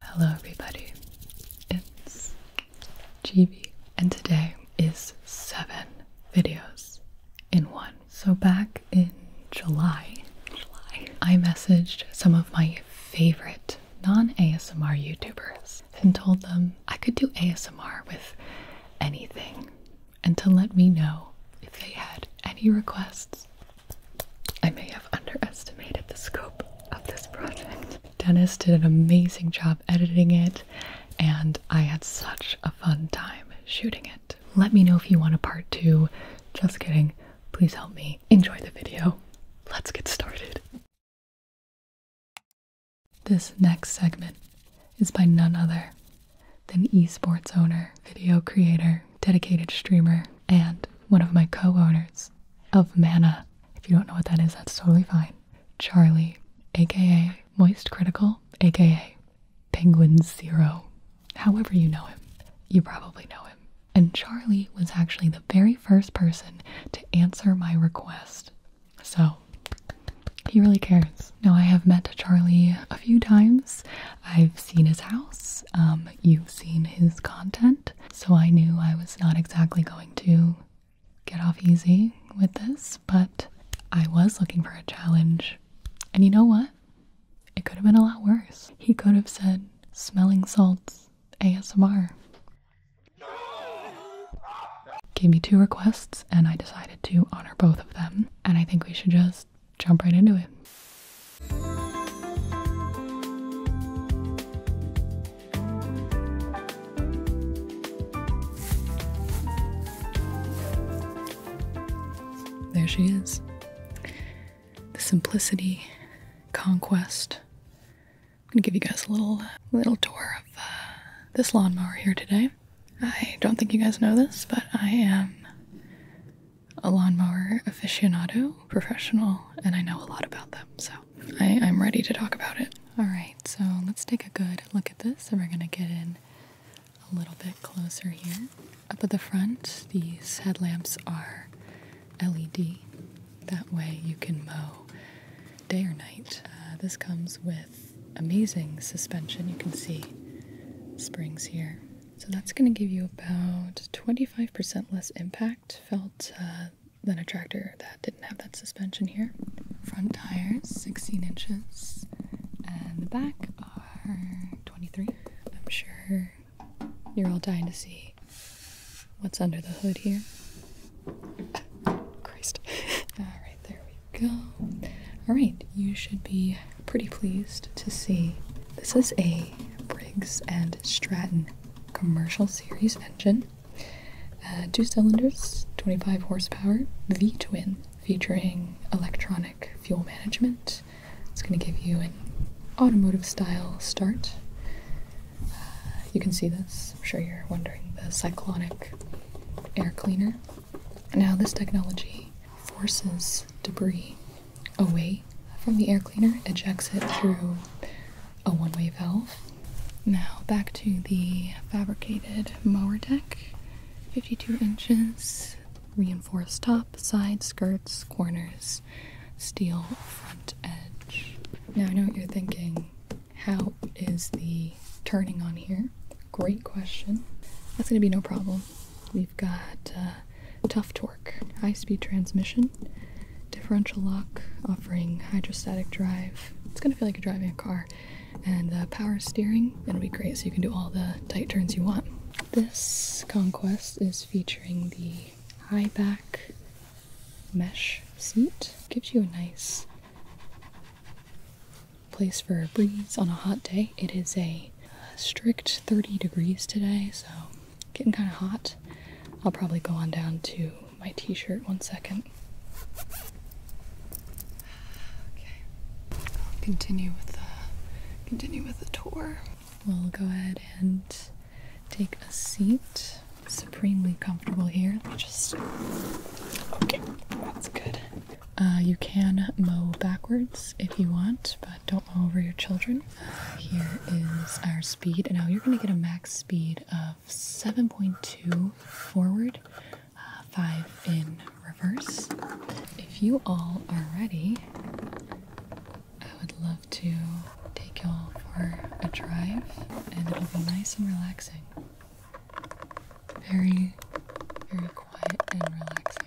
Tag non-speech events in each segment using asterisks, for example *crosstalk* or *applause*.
Hello, everybody. It's GB, and today is seven videos in one. So, back in July, July. I messaged some of my favorite non ASMR YouTubers and told them I could do ASMR with anything and to let me know if they had any requests I may have underestimated the scope of this project. Dennis did an amazing job editing it, and I had such a fun time shooting it. Let me know if you want a part two. Just kidding. Please help me. Enjoy the video. Let's get started. This next segment is by none other than esports owner, video creator, dedicated streamer, and one of my co owners of Mana. If you don't know what that is, that's totally fine. Charlie, aka Moist Critical, aka Penguin Zero. However, you know him. You probably know him. And Charlie was actually the very first person to answer my request. So, he really cares. Now, I have met Charlie a few times. I've seen his house, um, you've seen his content. So I knew I was not exactly going to get off easy with this, but I was looking for a challenge. And you know what? It could have been a lot worse. He could have said, smelling salts, ASMR. Gave me two requests, and I decided to honor both of them. And I think we should just jump right into it. There she is. The simplicity, conquest. I'm gonna give you guys a little little tour of uh, this lawnmower here today. I don't think you guys know this, but I am a lawnmower aficionado, professional, and I know a lot about them. So I, am ready to talk about it. All right, so let's take a good look at this, and we're gonna get in a little bit closer here. Up at the front, these headlamps are LED. That way, you can mow day or night. Uh, this comes with amazing suspension. You can see springs here. So that's going to give you about 25% less impact. Felt uh, than a tractor that didn't have that suspension here. Front tires, 16 inches, and the back are 23. I'm sure you're all dying to see what's under the hood here. *laughs* Christ. *laughs* Alright, there we go. Alright, you should be pretty pleased to see this is a Briggs and Stratton commercial series engine. Uh, two cylinders, 25 horsepower, V twin, featuring electronic fuel management. It's going to give you an automotive style start. Uh, you can see this, I'm sure you're wondering, the cyclonic air cleaner. Now, this technology forces debris away from the air cleaner, ejects it through a one-way valve. Now back to the fabricated mower deck. 52 inches, reinforced top, side skirts, corners, steel front edge. Now I know what you're thinking. How is the turning on here? Great question. That's going to be no problem. We've got uh, tough torque, high speed transmission, differential lock offering hydrostatic drive. It's going to feel like you're driving a car. And the uh, power steering, it'll be great so you can do all the tight turns you want. This Conquest is featuring the high back mesh seat. Gives you a nice place for a breeze on a hot day. It is a uh, strict 30 degrees today, so Getting kind of hot. I'll probably go on down to my t shirt one second. Okay. I'll continue with the continue with the tour. We'll go ahead and take a seat. Supremely comfortable here. just Okay, that's good. Uh, you can mow backwards if you want, but don't mow over your children. Here is our and now you're going to get a max speed of 7.2 forward, uh, 5 in reverse. If you all are ready, I would love to take you all for a drive, and it'll be nice and relaxing. Very, very quiet and relaxing.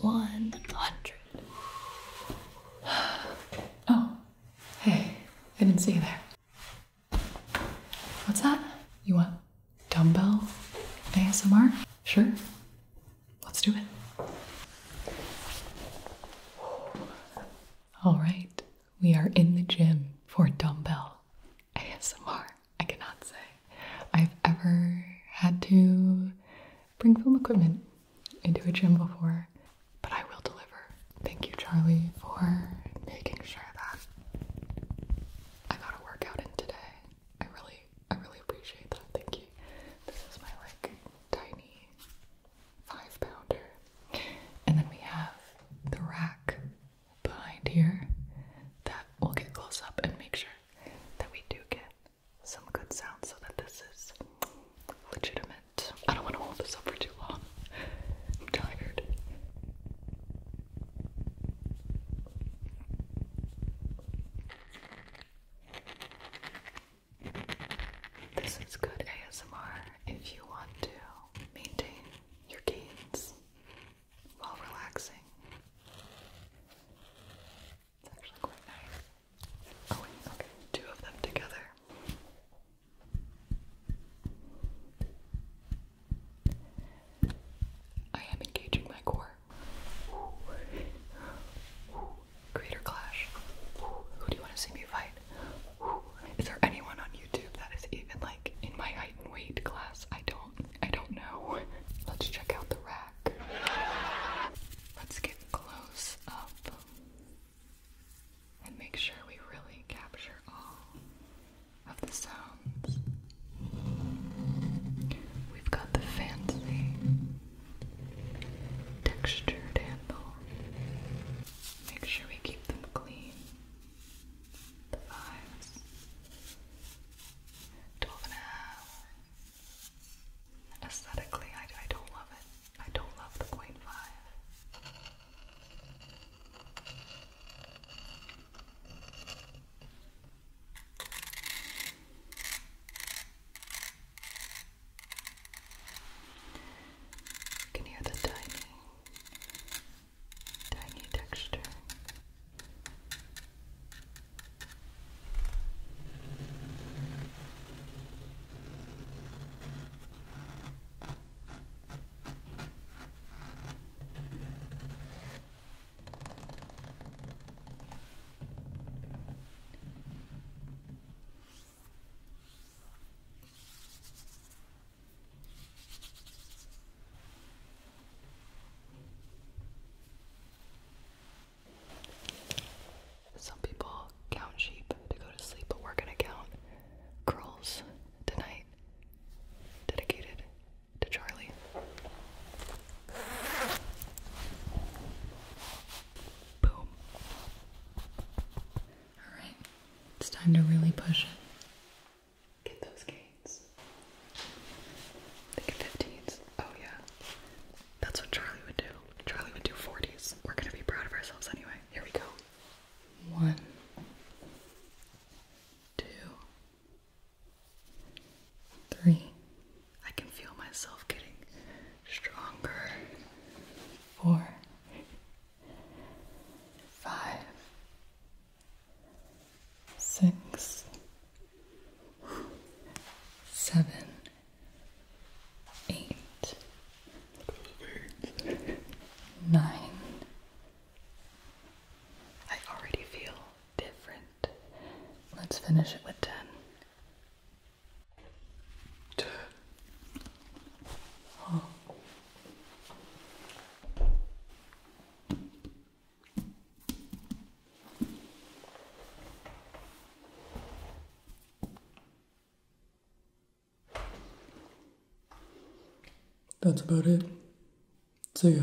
100. *sighs* Oh, hey, I didn't see you there. What's that? You want dumbbell ASMR? Sure. Let's do it. All right, we are in the gym for dumbbell ASMR. I cannot say I've ever had to bring film equipment into a gym before but I will deliver. Thank you, Charlie, for making sure that I got a workout in today. I really, I really appreciate that. Thank you. This is my like tiny five pounder, and then we have the rack behind here that we'll get close up and make sure that we do get some good sound so that this is legitimate. I don't want to hold this up for too long. I'm tired. This is good ASMR if you want to maintain your gains while relaxing. It's actually quite nice. Oh wait, okay, two of them together. I am engaging my core. Creator Clash. Who do you want to see me fight? Is there anyone on YouTube that is even like in my height and weight class? I don't I don't know. Let's check out the rack. Let's get close up and make sure we really capture all of the sounds. We've got the fancy textured handle. Make sure we keep them clean. The fives. Twelve and a half. Aesthetically, I, I don't love it. I don't love the five. You can hear the tiny, tiny texture. Okay. Some people count sheep to go to sleep, but we're gonna count girls tonight. Dedicated to Charlie. Boom. Alright, it's time to really push it. Get those gains. Think of 15s. Oh, yeah. That's what Charlie would do. Charlie would do 40s. We're gonna be proud of ourselves anyway. Here we go one, two, three. I can feel myself getting stronger. Four, five, six, seven, eight. Nine. I already feel different. Let's finish it with ten. Ten. That's about it. See ya.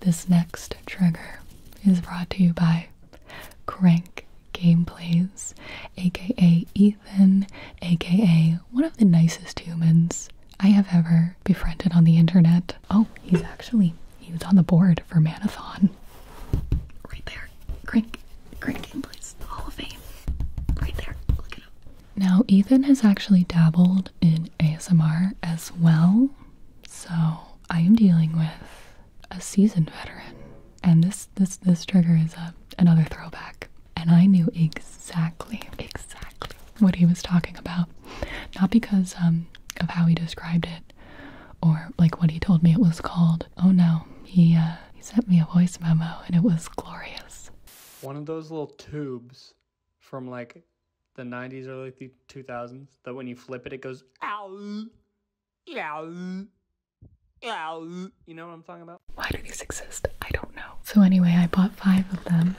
This next trigger is brought to you by Crank Gameplays, aka Ethan, aka one of the nicest humans I have ever befriended on the internet. Oh, he's actually he was on the board for Manathon. Right there. Great, great game, please. The Hall of Fame. Right there. Look it up. Now, Ethan has actually dabbled in ASMR as well. So I am dealing with a seasoned veteran. And this this this trigger is a, another throwback. And I knew exactly, exactly what he was talking about. Not because um, of how he described it or like what he told me it was called. Oh no, he uh, he sent me a voice memo and it was glorious. One of those little tubes from like the 90s or like the 2000s that when you flip it it goes ow. Ow. Ow. You know what I'm talking about? Why do these exist? I don't know. So anyway, I bought 5 of them.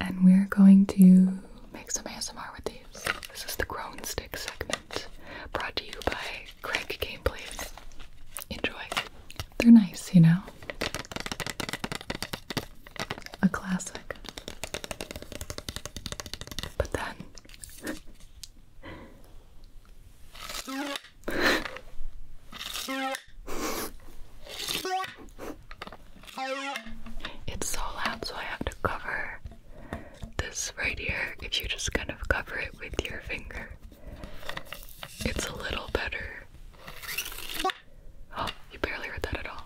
And we're going to make some ASMR with these. This is the groan Stick segment brought to you by Craig Gameplays. Enjoy. They're nice, you know? A classic. But then. *laughs* It's so loud, so I have to cover this right here. If you just kind of cover it with your finger, it's a little better. Oh, you barely heard that at all.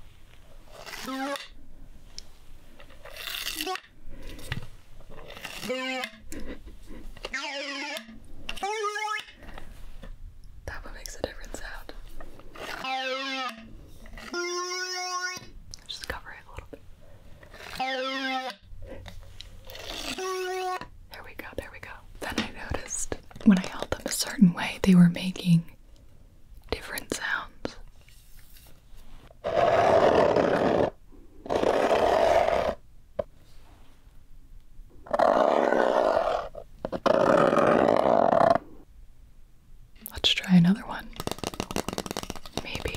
That one makes a different sound. Just cover it a little bit. There we go, there we go. Then I noticed when I held them a certain way, they were making different sounds. Let's try another one. Maybe.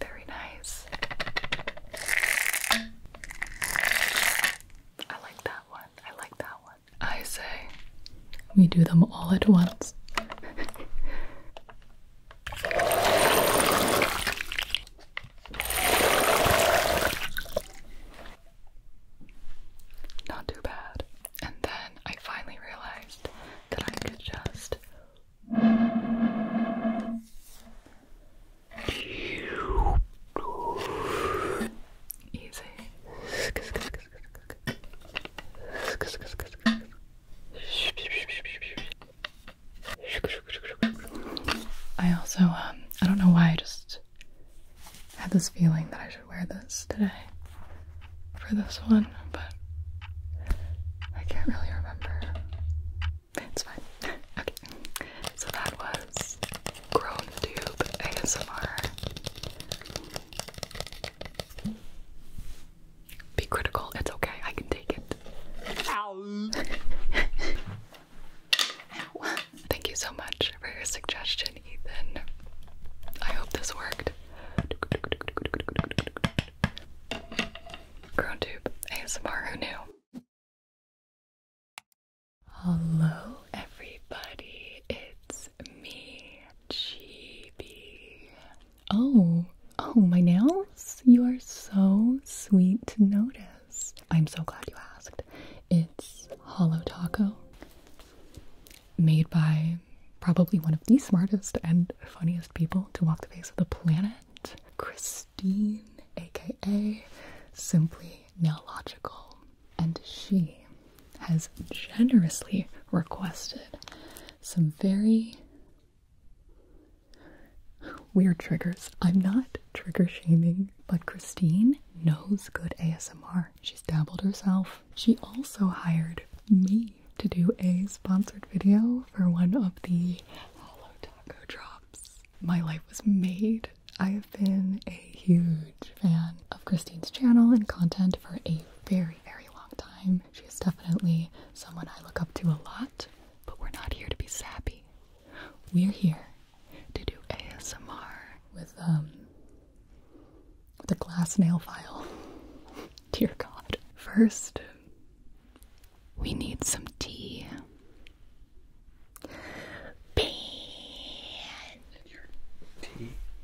Very nice. I like that one. I like that one. I say we do them all at once. Not too bad. And then I finally realized that I could just Easy. I also, um, I don't know why I just had this feeling that I should wear this today for this one but I can't really remember. It's fine. *laughs* okay. So that was Grown Tube ASMR. Be critical, it's okay, I can take it. Ow. *laughs* Thank you so much for your suggestion, Ethan. I hope this worked. Ground tube. Hey, who new. Hello everybody, it's me, Chibi. Oh, oh, my nails? You are so sweet to notice. I'm so glad you asked. It's Hollow Taco, made by probably one of the smartest and funniest people to walk the face of the planet. Christine, aka Simply Now Logical, and she has generously requested some very weird triggers. I'm not trigger shaming, but Christine knows good ASMR. She's dabbled herself. She also hired me to do a sponsored video for one of the Holo Taco drops. My life was made. I have been a huge fan of Christine's channel and content for a very, very long time. She is definitely someone I look up to a lot, but we're not here to be sappy. We're here to do ASMR with um the glass nail file. *laughs* Dear God. First, we need some tea. Bean.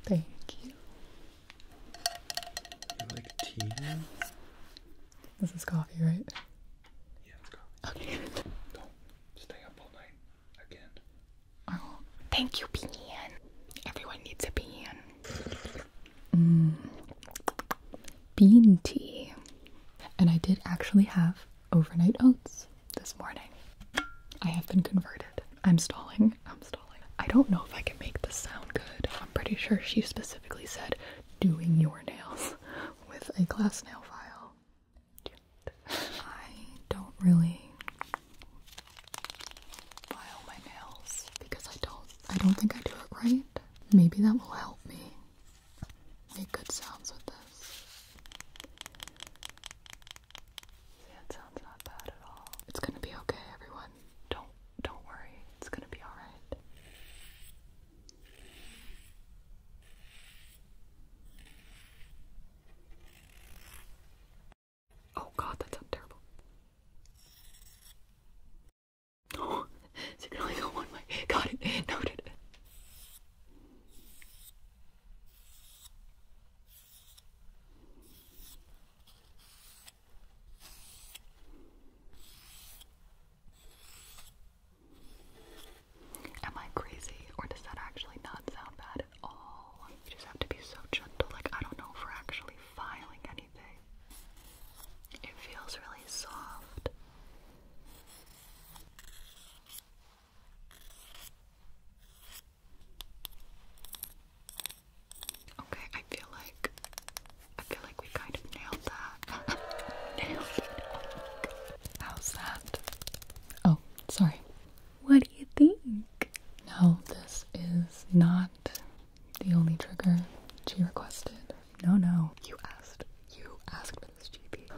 Thank you. You like tea? This is coffee, right? Yeah, it's coffee. Okay. Don't stay up all night again. I oh, Thank you, Pan. Everyone needs a pan. Bean tea. And I did actually have overnight oats this morning. I have been converted. I'm stalling. I'm stalling. I don't know if I can make this sound good. I'm pretty sure she specifically said doing your nails *laughs* with a glass nail file. I don't really file my nails because I don't I don't think I do it right. Maybe that will help me make good sounds with this. Yeah, it sounds not bad at all. It's gonna be okay, everyone. Don't don't worry. It's gonna be alright. Oh god, that sounds terrible. *gasps* Oh, Got it. Noted. Am I crazy, or does that actually not sound bad at all? You just have to be so gentle. Like I don't know if we're actually filing anything. It feels really soft. Okay, I feel like I feel like we kind of nailed that. *laughs* How's that? Oh, sorry. What do you think? No, this is not the only trigger she requested. No, no, you asked. You asked for this GP.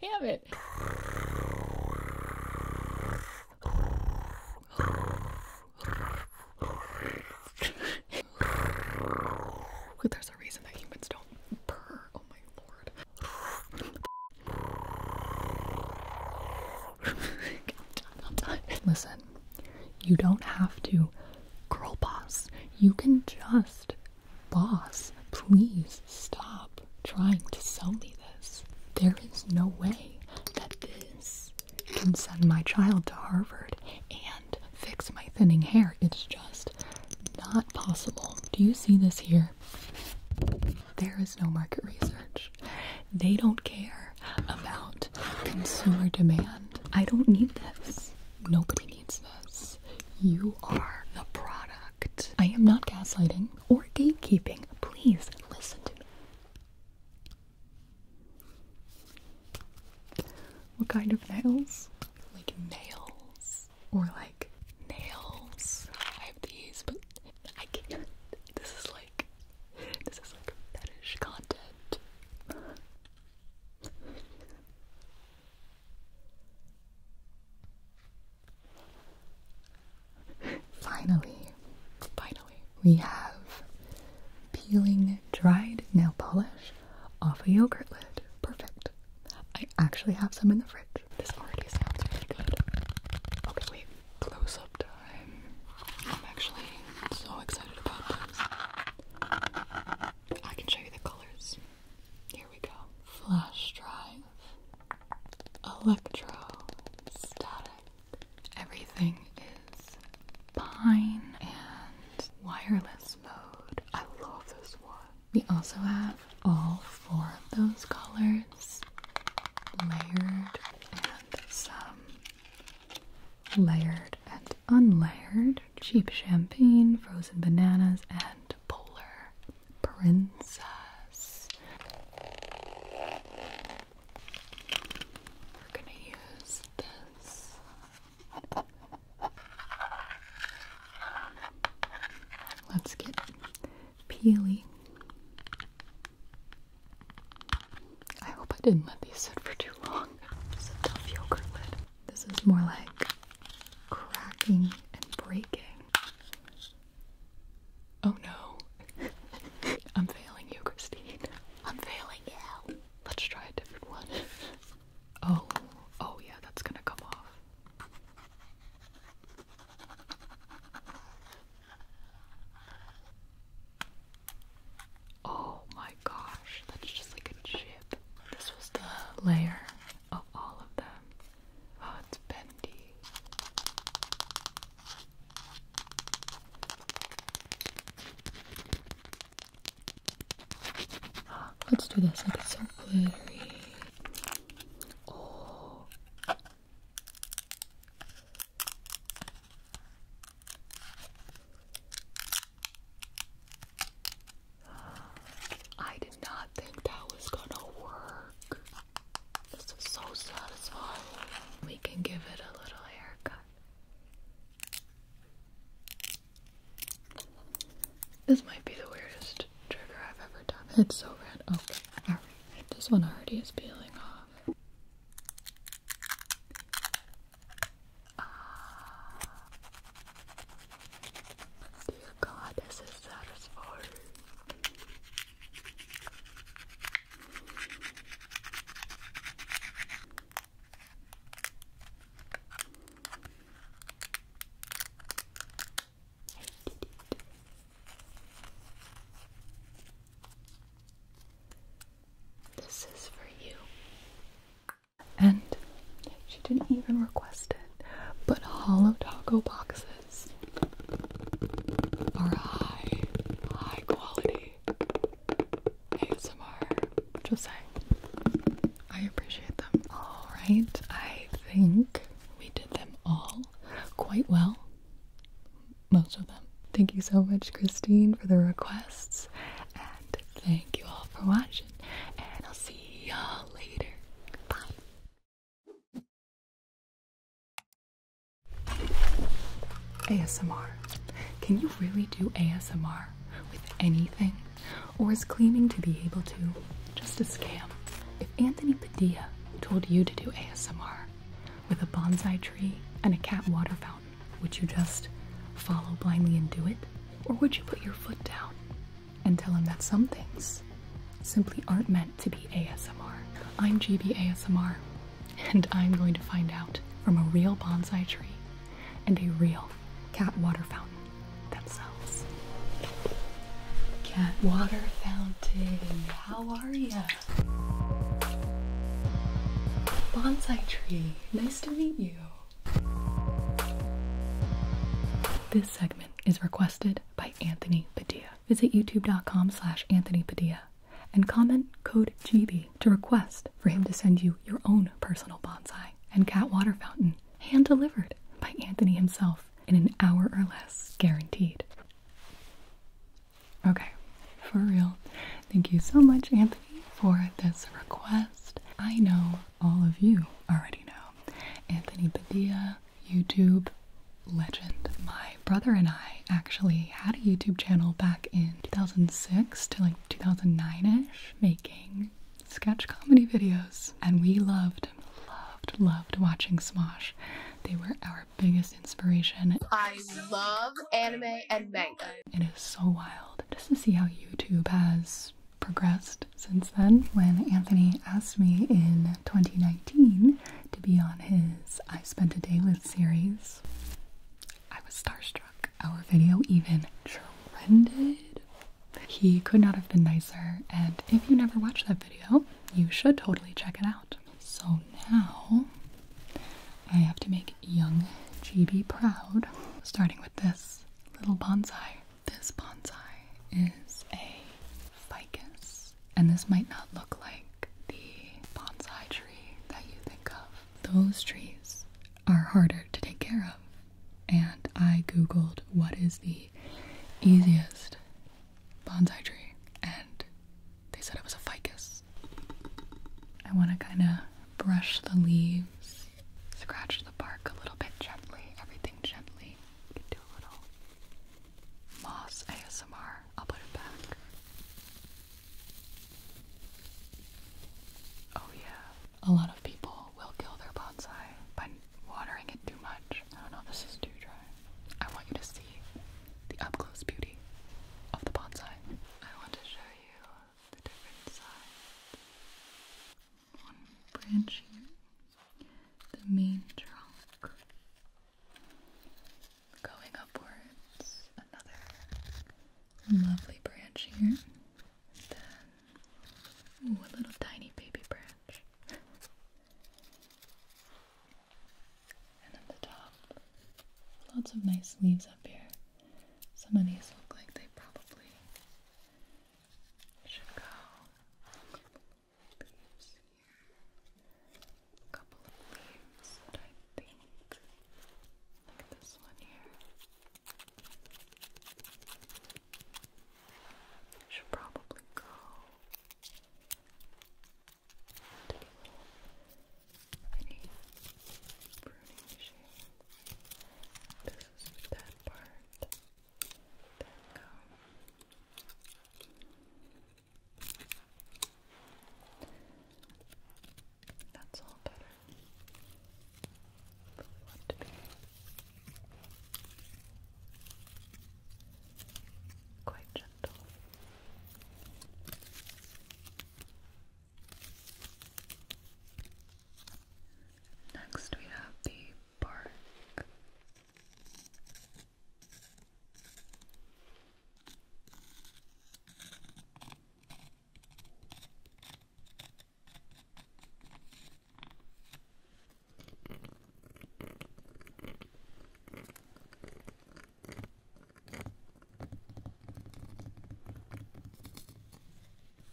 Damn it. There's a reason that humans don't purr. Oh my *laughs* Listen, you don't have to girl boss. You can just boss. Please stop trying to sell me this. There is no way that this can send my child to Harvard and fix my thinning hair. It's just not possible. Do you see this here? There is no market research. They don't care about consumer demand. I don't need this. Nobody needs this. You are the product. I am not gaslighting or gatekeeping. Please listen to me. What kind of nails? Like nails or like nails. I have these, but I can't. This is like this is like fetish content. finally, finally, we have peeling dried nail polish off a yogurt lid. Perfect. I actually have some in the fridge. This already sounds really good. Okay, wait. Close up time. I'm actually so excited about this. I can show you the colors. Here we go. Flash drive. Electro. Static. Everything is pine and wireless mode. I love this one. We also have all four of those colors layered and some layered and unlayered cheap champagne, frozen bananas, and polar princess. We're gonna use this. Let's get peely. I hope I didn't let these sit for too long. It's a tough yogurt lid. This is more like cracking and breaking. Oh no. *laughs* I'm failing you, Christine. I'm failing you. Let's try a different one. *laughs* oh, oh yeah, that's gonna come off. Oh my gosh, that's just like a chip. This was the layer of all of them. Oh, it's bendy. Let's do this, like it's so glittery. Oh, I did not think that was gonna work. This is so satisfying. We can give it a little haircut. This might be the weirdest it's so red. Okay, This one already is peeling off. Ah. Dear God, this is satisfying. This is for you. And she didn't even request it, but hollow taco boxes are high, high quality ASMR. Just saying. I appreciate them. Alright, I think we did them all quite well most of them. Thank you so much, Christine, for the requests, and thank you all for watching. And I'll see y'all later. Bye. ASMR. Can you really do ASMR with anything? Or is claiming to be able to just a scam. If Anthony Padilla told you to do ASMR with a bonsai tree and a cat water fountain, would you just follow blindly and do it? Or would you put your foot down and tell him that some things simply aren't meant to be ASMR? I'm GB ASMR, and I'm going to find out from a real bonsai tree and a real cat water fountain themselves. Cat water fountain. How are you? Bonsai tree. Nice to meet you. This segment is requested by Anthony Padilla. Visit youtube.com slash Anthony Padilla and comment code GB to request for him to send you your own personal bonsai and cat water fountain hand delivered by Anthony himself in an hour or less, guaranteed. Okay, for real. Thank you so much, Anthony, for this request. I know all of you already know Anthony Padilla, YouTube legend. My brother and I actually had a YouTube channel back in 2006 to like 2009 ish, making sketch comedy videos, and we loved, loved, loved watching Smosh. They were our biggest inspiration. I love anime and manga. It is so wild just to see how YouTube has progressed since then. When Anthony asked me in 2019 to be on his I Spent a Day With series, I was starstruck. Our video even trended. He could not have been nicer, and if you never watched that video, you should totally check it out. So now I have to make young GB proud, starting with this little bonsai. This bonsai is a ficus, and this might not look like the bonsai tree that you think of. Those trees are harder to take care of, and I googled what is the easiest bonsai tree and they said it was a ficus. I want to kind of brush the leaves, scratch the bark a little bit gently, everything gently. can do a little moss ASMR. I'll put it back. Oh, yeah. A lot of people will kill their bonsai by watering it too much. I don't know, this is too dry. I want you to see the up close beauty of the bonsai. I want to show you the different sides. One branch here, the main trunk. Going upwards, another lovely branch here. then, ooh, a little tiny baby branch. And at the top, lots of nice leaves up here. Some of these look like they probably should go. Leaves here. A couple of leaves that I think. Look this one here. Should probably go Take a pruning machine. This is part. There we go. That's all better quite gentle. Next, we have the bark.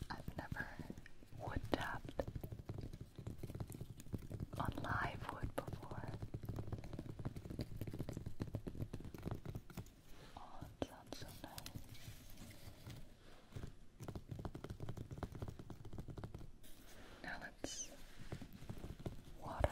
I've never wood tapped on live wood before. Oh, it sounds so nice. Now let's water.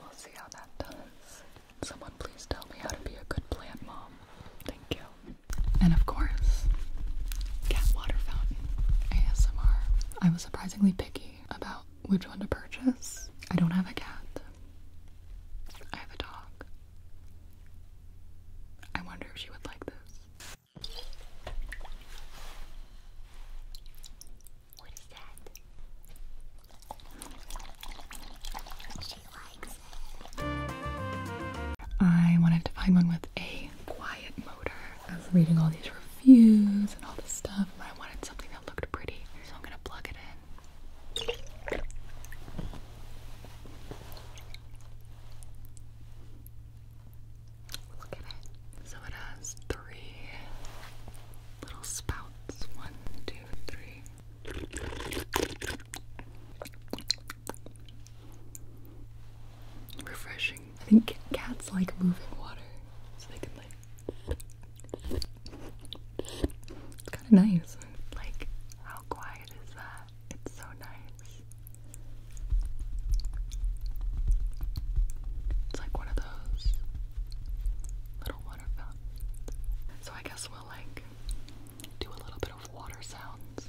We'll see how that does. Someone please tell me how to be a good plant mom. Thank you. And of course, cat water fountain ASMR. I was surprisingly picky about which one to purchase. I don't have a cat. I have a dog. I wonder if she would like this. What is that? She likes I wanted to find one with a quiet motor. I was reading all these reviews and all this stuff, but I wanted something that looked pretty, so I'm gonna plug it in. Look at it. So it has three little spouts. One, two, three. Refreshing. I think cats like moving water, so they can like. It's kind of nice. Like, how quiet is that? It's so nice. It's like one of those little water So I guess we'll like do a little bit of water sounds.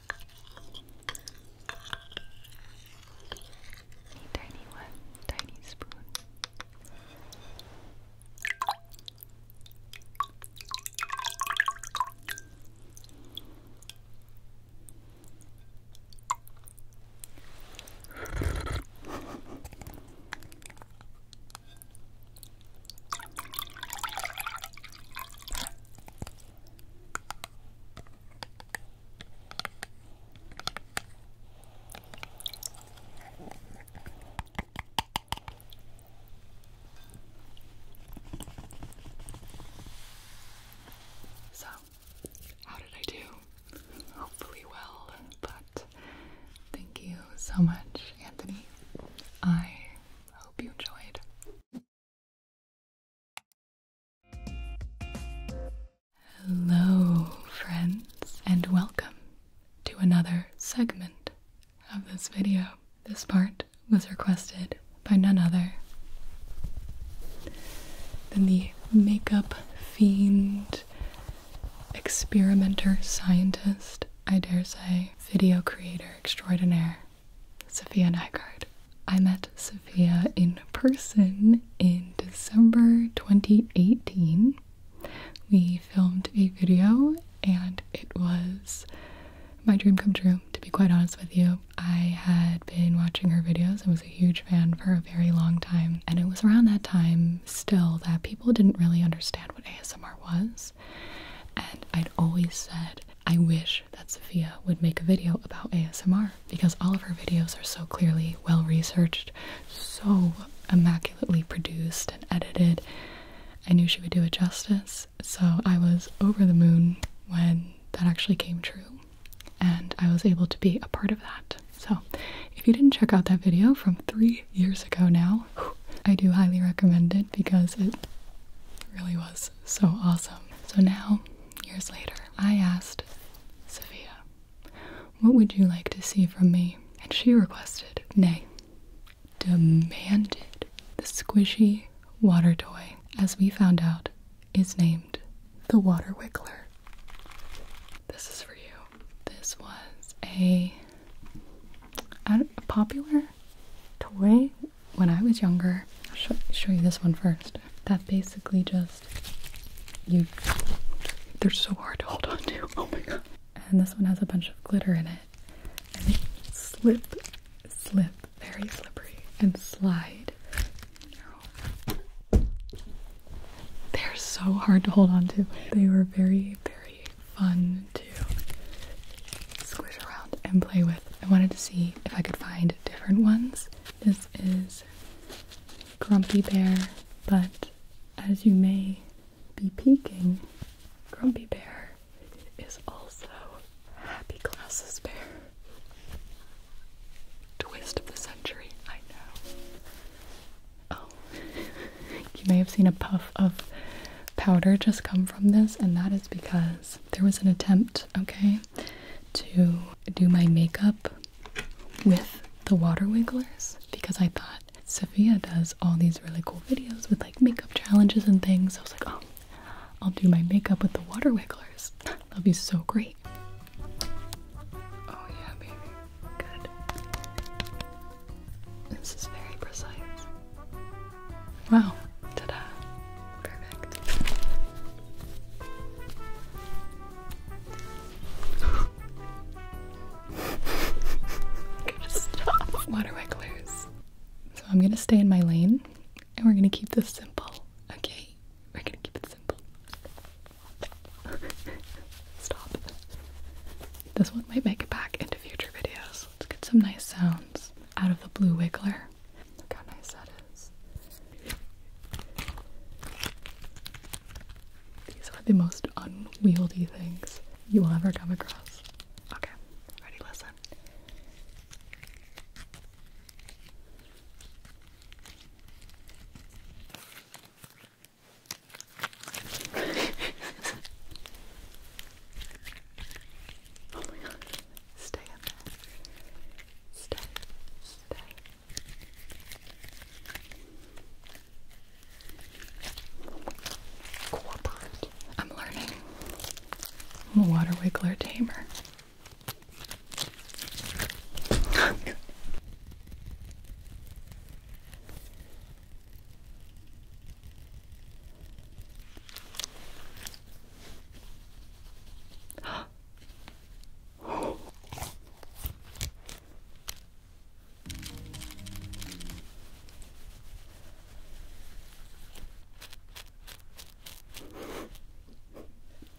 A tiny one, tiny spoon. So, how did I do? Hopefully, well, but thank you so much, Anthony. I hope you enjoyed. Hello, friends, and welcome to another segment of this video. This part was requested by none other than the makeup fiend, experimenter, scientist, I dare say, video creator extraordinaire, Sophia Nygaard. I met Sophia in person in December 2018. We filmed a video and it was my dream come true, to be quite honest with you. I had been watching her videos. I was a huge fan for a very long time. And it was around that time still that people didn't really understand what ASMR was. And I'd always said, I wish that Sophia would make a video about ASMR because all of her videos are so clearly well researched, so immaculately produced and edited. I knew she would do it justice, so I was over the moon when that actually came true, and I was able to be a part of that. So, if you didn't check out that video from three years ago now, I do highly recommend it because it really was so awesome. So now years later, I asked Sophia, What would you like to see from me? And she requested, nay, demanded the squishy water toy, as we found out, is named the Water wickler. This is for you. This was a popular toy when I was younger, I'll show, you this one first. That basically just you. They're so hard to hold on to. *laughs* Oh my god! And this one has a bunch of glitter in it, and they slip, slip, very slippery, and slide. They're so hard to hold on to. They were very, very fun to squish around and play with. I wanted to see if I could find different ones. This is Grumpy Bear, but as you may be peeking, Grumpy Bear is also Happy Glasses Bear. Twist of the century, I know. Oh, *laughs* you may have seen a puff of powder just come from this, and that is because there was an attempt, okay, to do my makeup with the water wigglers because I thought Sophia does all these really cool videos with like makeup challenges and things. I was like, oh, I'll do my makeup with the water wigglers. *laughs* That'll be so great. Oh, yeah, baby. Good. This is very precise. Wow. Ta-da. Perfect. gotta *laughs* stop. Water wigglers. So I'm gonna stay in my lane and we're gonna keep this simple. Okay? We're gonna keep it simple. *laughs* Stop. This one might make it back into future videos. Let's get some nice sounds out of the blue wiggler how nice that is. These are the most unwieldy things you will ever come across. Okay, ready, listen. *laughs* oh my god. Stay up there. Stay. Stay. Cooperate. I'm learning. I'm a water wiggler tamer. *laughs*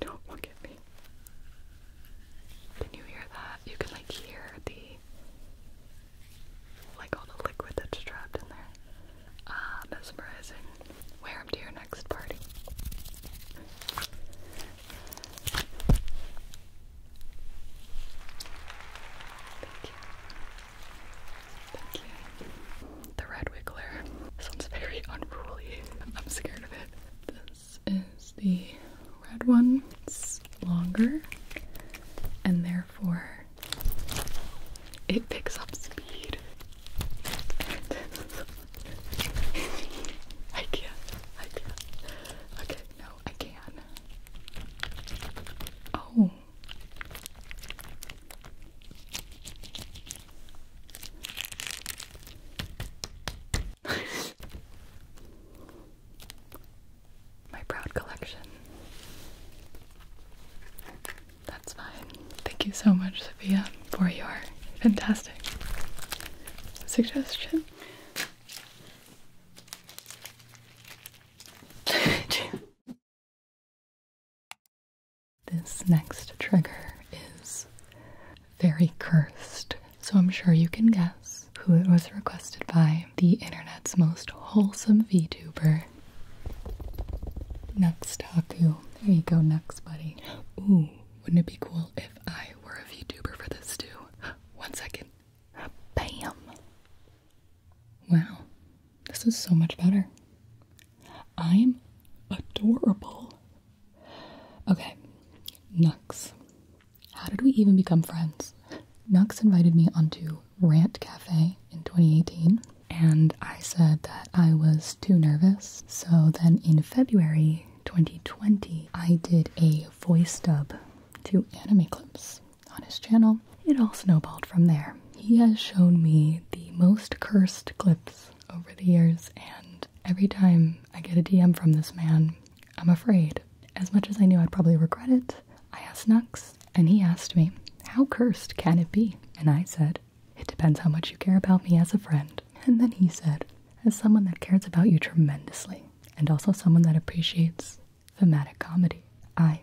Don't look at me. Can you hear that? You can like hear the like all the liquid that's trapped in there. Ah, mesmerizing. Wear them to your next party. Thank you. Thank you. The red wiggler. Sounds very unruly. *laughs* I'm scared of it. This is the red one. It's longer and therefore it picks up speed. I can't. I can't. Okay, no, I can. Oh. *laughs* My proud collection. That's fine. Thank you so much, Sophia, for your fantastic suggestion. *laughs* this next trigger is very cursed, so I'm sure you can guess who it was requested by the internet's most wholesome Next, Nuxtaku. There you go, next, buddy. Ooh, wouldn't it be cool if I were a VTuber for this too? *gasps* One second. Bam! Wow, this is so much better. I'm adorable. Okay, Nux. How did we even become friends? Nux invited me onto Rant Cafe in 2018 and I said that I was too nervous. So then in February 2020, I did a voice dub to anime clips on his channel. It all snowballed from there. He has shown me the most cursed clips over the years, and every time I get a DM from this man, I'm afraid. As much as I knew I'd probably regret it, I asked Nux, and he asked me, How cursed can it be? And I said, it depends how much you care about me as a friend. And then he said, as someone that cares about you tremendously, and also someone that appreciates thematic comedy, I,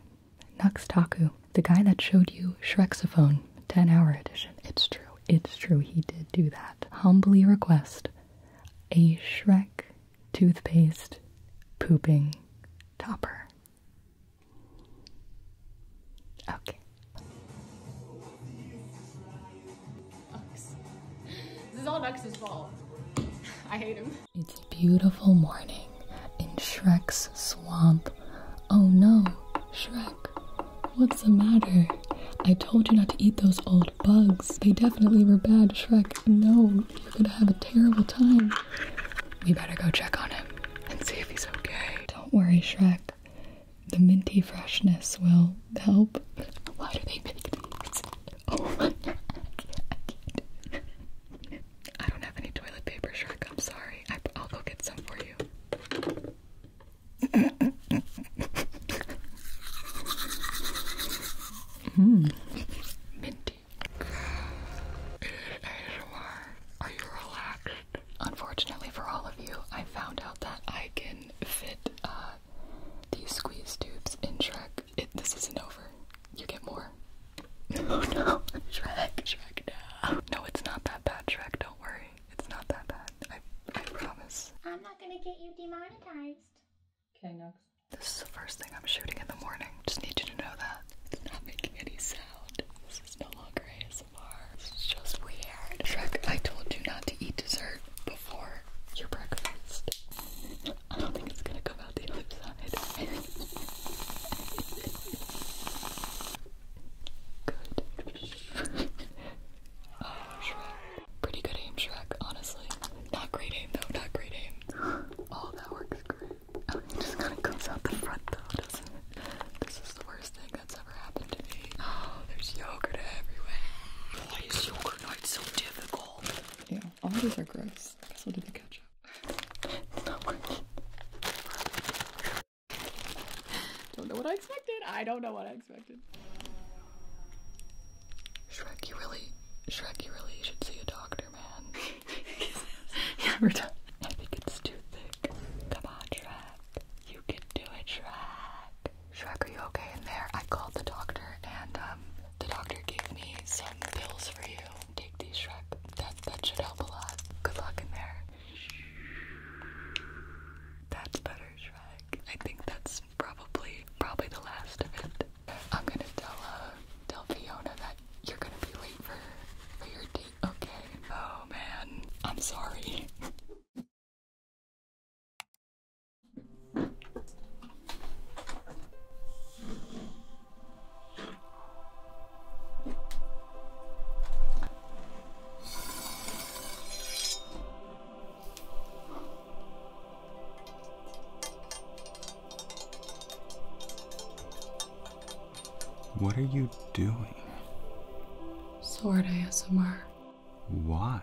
Nux Taku, the guy that showed you Shrexophone 10 hour edition, it's true, it's true, he did do that, humbly request a Shrek toothpaste pooping topper. Okay. Ux. This is all Ux's fault. *laughs* I hate him. It's a beautiful morning in Shrek's swamp. Oh no, Shrek, what's the matter? I told you not to eat those old bugs. They definitely were bad, Shrek. No, you're gonna have a terrible time. We better go check on him and see if he's okay. Don't worry, Shrek the minty freshness will help. Why do they make these? Oh my god, I don't have any toilet paper, Shrek. I'm sorry. I, will go get some for you. mm. Minty. Are you relaxed? Unfortunately for all of you, I found out that I can fit uh, these squeeze tubes in Shrek. It, this isn't over. You get more. *laughs* Oh no, Shrek, Shrek, no. No, it's not that bad, Shrek. Don't worry. It's not that bad. I, I promise. I'm not gonna get you demonetized. Okay, next. This is the first thing I'm shooting in the morning. Just need you to know that. It's not making any sound. This is no longer ASMR. Shrek, I told you not to eat dessert before your breakfast. I don't think it's gonna come out the other side. *laughs* Good. Pretty good aim, Shrek, honestly. Not great aim, though, not great aim. All that works great. Oh, it just kind of comes out the front, though. This, is the worst thing that's ever happened to me. Oh, there's yogurt everywhere. Why is yogurt night so difficult? Yeah, all these are gross. I guess we'll do the ketchup. don't know what I expected. I don't know what I expected. Shrek, you really, Shrek, you really should see a doctor, man. *laughs* yeah, we're done. I think it's too thick. Come on, Shrek. You can do it, Shrek. Shrek, are you okay in there? I called the doctor and um the doctor gave me some pills for you. Take these, Shrek. That that should help a lot. Good luck in there. That's better, Shrek. I think that's probably probably the last of it. I'm gonna tell uh tell Fiona that you're gonna be late for for your date, okay? Oh man, I'm sorry. *laughs* What are you doing? Sword ASMR. Why?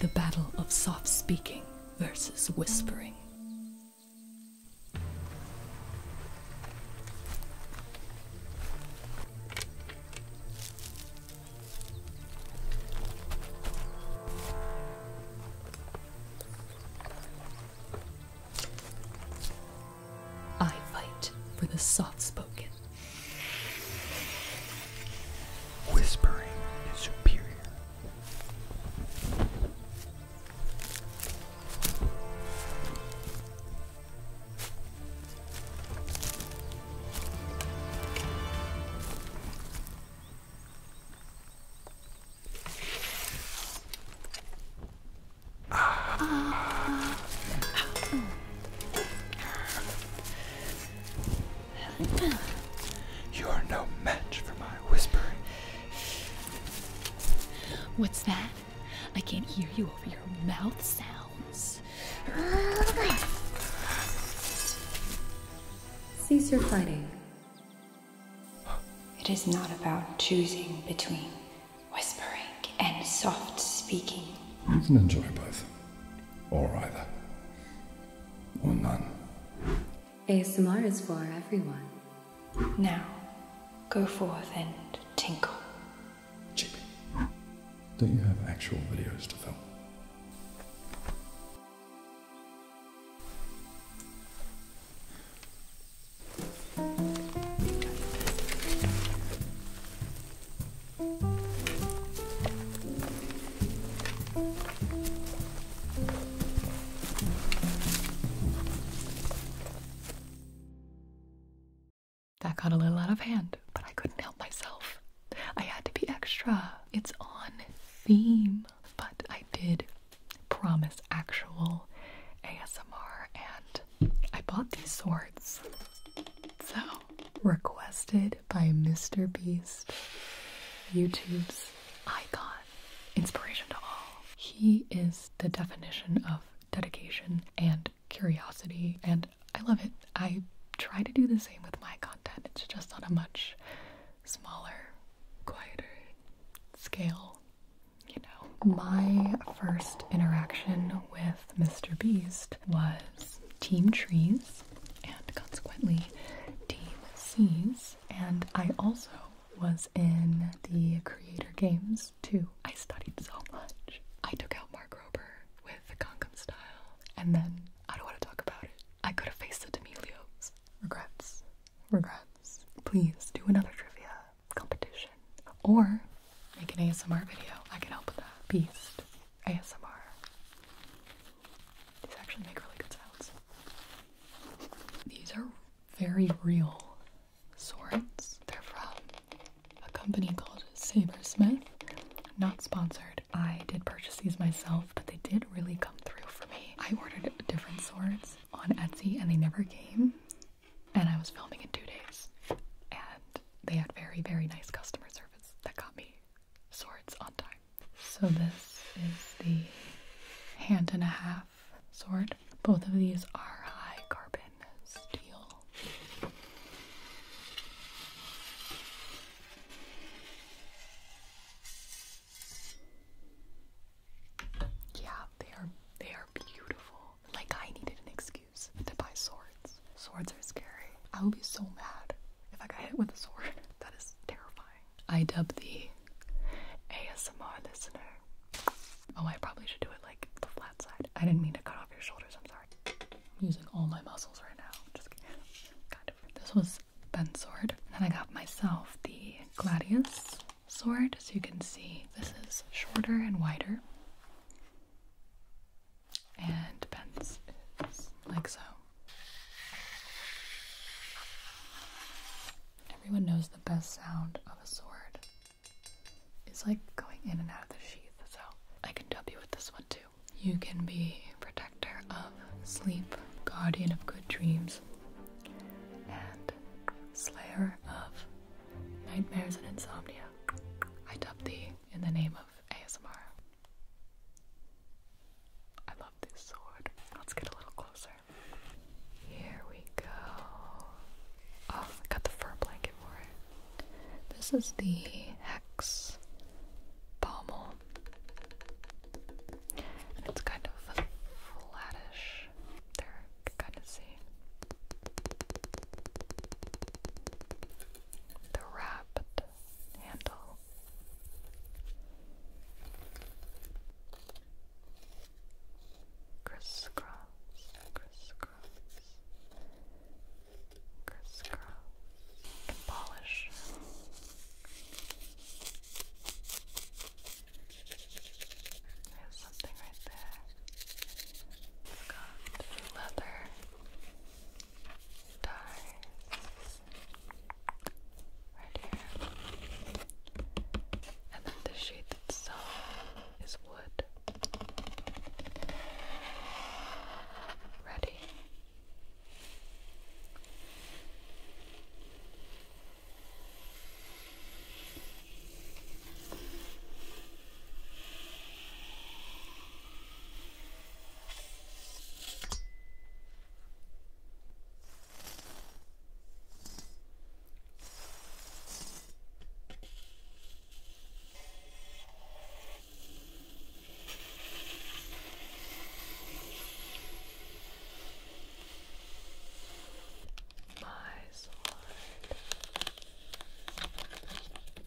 The battle of soft speaking versus whispering. I fight for the soft spoken. Whispering is superior. You are no match for my whispering What's that? I can't hear you over your mouth sounds. Cease your fighting. It is not about choosing between whispering and soft speaking. You can enjoy both, or either, or none. ASMR is for everyone. Now, go forth and tinkle. Chippy, don't you have actual videos to film? That got a little out of hand, but I couldn't help myself. I had to be extra. It's on theme. But I did promise actual ASMR and I bought these swords. So, requested by Mr. Beast, YouTube's icon inspiration to all. He is the definition of dedication and curiosity, and I love it. I try to do the same with my content, it's just on a much smaller, quieter scale, you know. My first interaction with Mr. Beast was Team Trees and consequently Team Seas, and I also was in the Creator Games too. I studied so much. I took out Mark Rober with the Gangnam Style, and then I don't want to talk about it. I could have faced the D'Amelios. Regrets. Regrets. Please do another trivia competition or make an ASMR video. I can help with that. Beast ASMR. These actually make really good sounds. These are very real swords. They're from a company called Sabersmith. Not sponsored. I did purchase these myself, but they did really come through for me. I ordered different swords on Etsy and they never came. And I was filming in two days. And they had very, very nice customer service that got me swords on time. So this is the hand and a half sword. Both of these are high carbon steel. Yeah, they are they are beautiful. Like I needed an excuse to buy swords. Swords are scary. I will be so mad if I get hit with a sword. *laughs* That is terrifying. I dub the ASMR listener Oh, I probably should do it like the flat side. I didn't mean to cut off your shoulders, I'm sorry. I'm using all my muscles right now. Just kidding. This was Ben's sword. And then I got myself the Gladius sword. As you can see, this is shorter and wider. And Ben's is like so. Everyone knows the best sound of a sword is like going in and out of the sheath, so I can dub you with this one too. You can be protector of sleep, guardian of good dreams, and slayer of nightmares and insomnia. I dub thee in the name of ASMR. I love this sword. Let's get a little closer. Here we go. Oh, I got the fur blanket for it. This is the Hex Pommel. it's kind of flattish. There, kind of see. The wrapped handle crisscross, crisscross, crisscross, and polish. There's something right there. got leather ties right here. And then the sheet itself is wood. Ready? My sword.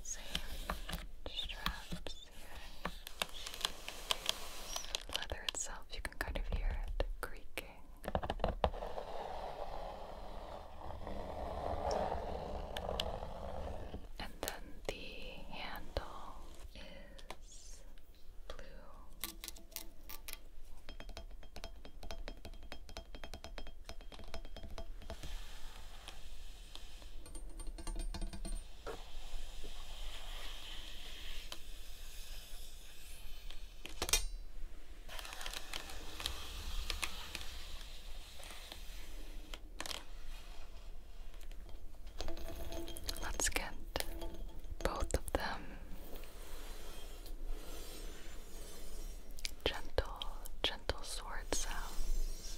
Same straps here. Leather itself, you can kind of hear it creaking working. And then the handle is blue. Let's get both of them gentle, gentle sword sounds.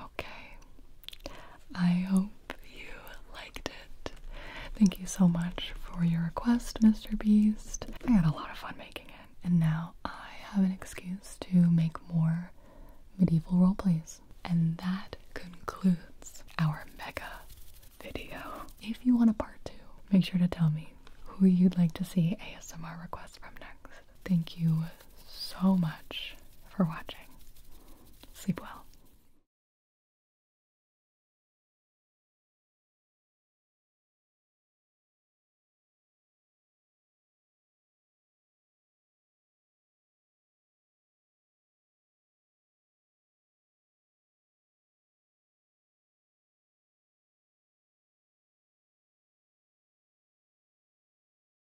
Okay. I hope you liked it. Thank you so much for your request, Mr. Beast. I had a lot of fun making it, and now I have an excuse to make more medieval role plays. And that concludes our mega video. If you want a part two, make sure to tell me who you'd like to see ASMR requests from next. Thank you so much for watching. Sleep well.